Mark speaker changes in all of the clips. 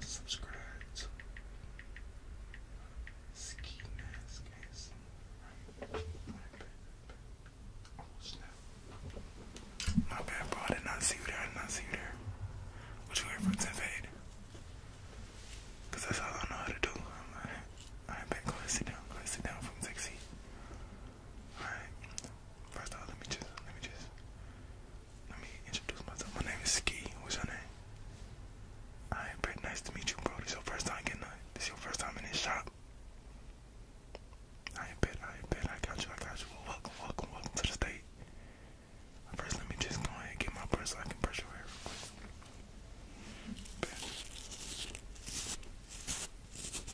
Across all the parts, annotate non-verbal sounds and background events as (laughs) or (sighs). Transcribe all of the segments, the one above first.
Speaker 1: Subscribe My bad, I did not see you there. I did not see you there. What you here for, Tenfade? Because that's all I know how to do. I'm, Go sit down. Go sit down from Texas. Alright. First off, let me just let me just let me introduce myself. My name is Ski. What's your name? Alright, Brett, nice to meet you, bro. This your first time getting this your first time in this shop. I bet, I bet, I got you, I got you. welcome, welcome, welcome to the state. First, let me just go ahead and get my brush so I can brush your hair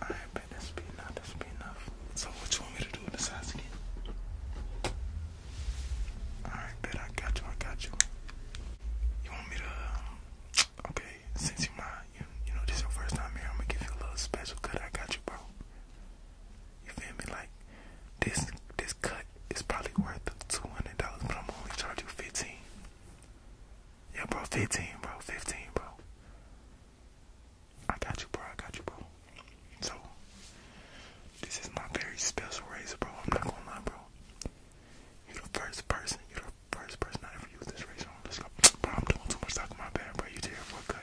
Speaker 1: I bet this be enough. This be enough. So what you want me to do besides again? Alright, bet I got you. I got you. You want me to? Um, okay, since you my, you you know this is your first time here, I'm gonna give you a little special cut. I got you, bro. You feel me? Like this this cut it's probably worth two hundred dollars, but I'm only charge you fifteen. Yeah, bro, fifteen, bro, fifteen, bro. I got you, bro. I got you, bro. So this is my very special razor, bro. I'm not gonna lie, bro. You're the first person. You're the first person I ever used this razor on. Let's go. Bro, I'm doing too much talking. My bad, bro. You did a cut.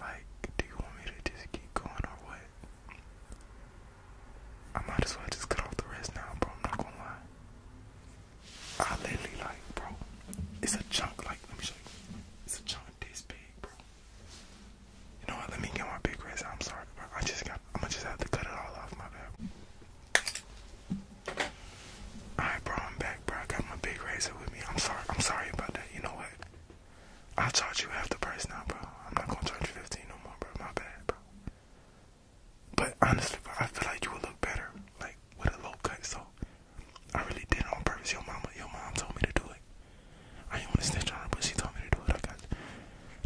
Speaker 1: Like, do you want me to just keep going or what? I might as well just cut off the rest now, bro. I'm not gonna lie. I literally like, bro. It's a chunk. Like, let me show you. It's a chunk this big, bro. You know what? Let me get my big rest. I'm sorry, bro. I just got. I'm gonna just have to cut it all off. My bad. Alright, bro. I'm back, bro. got my big razor with me. I'm sorry. I'm sorry about that. You know what? i charge you half the price now, bro. I'm not gonna charge you 15 no more, bro. My bad, bro. But honestly, bro, I feel like you would look better, like with a low cut. So I really did it on purpose. Your mama, your mom told me to do it. I didn't want to snitch on her, but she told me to do it. I got.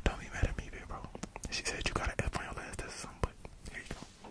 Speaker 1: Don't be mad at me, bro. She said you got an F on your last test or something, but here you go.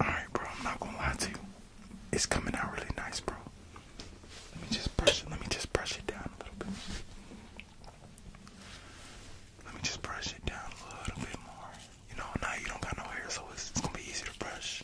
Speaker 1: All right, bro, I'm not gonna lie to you it's coming out really nice, bro. Let me just brush it. Let me just brush it down a little bit. Let me just brush it down a little bit more. You know, now you don't got no hair, so it's, gonna be easy to brush.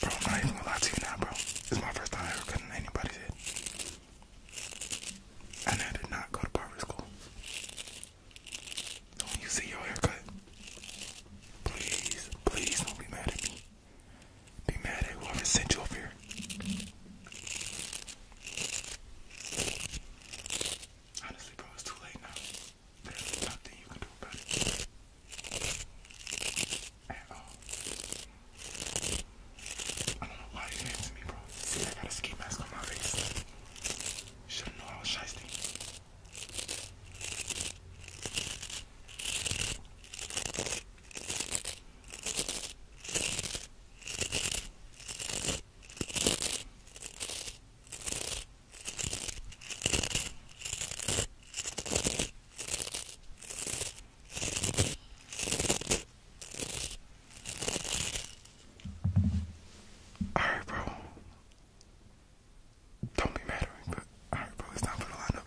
Speaker 1: Bro, I'm not even gonna lie to you now, bro. This is my first time ever cutting anybody's head. And I did not go to barber school. So when you see your haircut, please, please don't be mad at me. Be mad at whoever sent you over here. Honestly, bro, it's too late now. There's nothing you can do about it. At all. I don't know why it happened me, bro. See, I got a ski mask on my face. Should've known I was shiesty. Alright, bro. Don't be mad at me, but
Speaker 2: alright, bro, it's time for the lineup.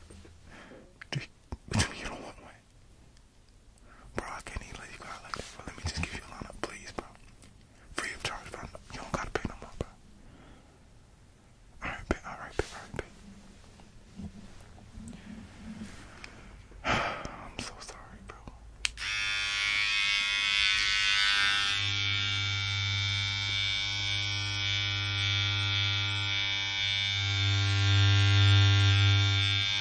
Speaker 2: do you you don't want one? Bro, I can't even let you go like that, bro. Let me just give you a line lineup, please, bro. Free of charge, bro. You don't gotta pay no more, bro. Alright, bet, alright, bet, alright, bet. (sighs) I'm so sorry, bro.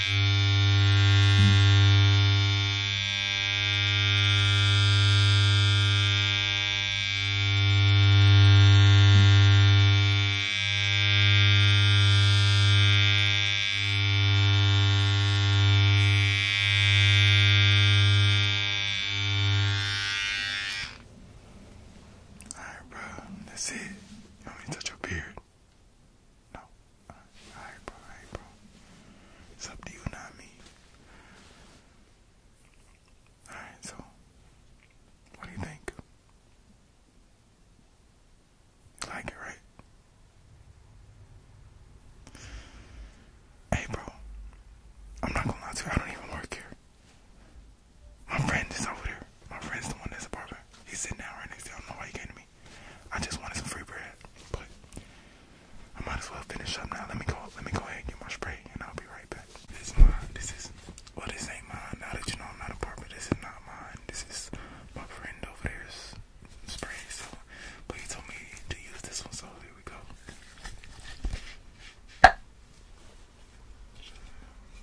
Speaker 2: Alright,
Speaker 1: bro, that's it. You want me to touch your beard? No. All right, bro. All right, bro. It's up to you, not me. All right, so what do you think? You like it, right? Hey, bro. I'm not gonna lie to you. I don't even work here. My friend is over there. My friend's the one that's apartment. He's sitting down right next to you. I don't know why he came to me. I just wanted some free bread, but I might as well finish up now. Let me go. Let me go ahead get my spray, and I'll be right back. This is mine. This is well. This ain't mine. Now that you know I'm not a this is not mine. This is my friend over there's spray. So, but he told me to use this one. So here we go.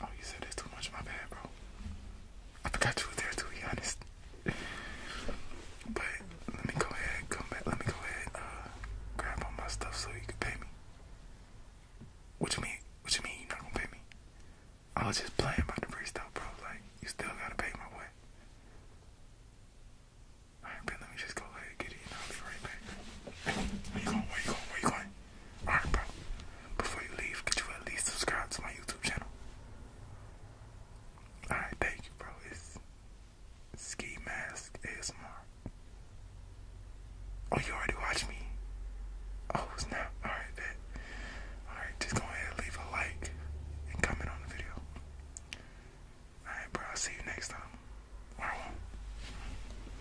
Speaker 1: Oh, you said it's too much. My bad, bro. I forgot you were there, too, be honest. (laughs) but let me go ahead, come back. Let me go ahead, uh, grab all my stuff so you can pay me. What you mean? What you mean you not gonna pay me? I was just playing about the freestyle, bro. Like, you still gotta pay my way. Alright, but let me just go get it and I'll be right back. Where you going? Where you going? Alright, bro. Before you leave, could you at least subscribe to my YouTube channel? Alright, thank you, bro. It's Ski Mask ASMR. Oh, you already watched me? Oh, it's not. Alright, that. Alright, just go ahead and leave a like and comment on the video. Alright, bro. I'll see you next time. Or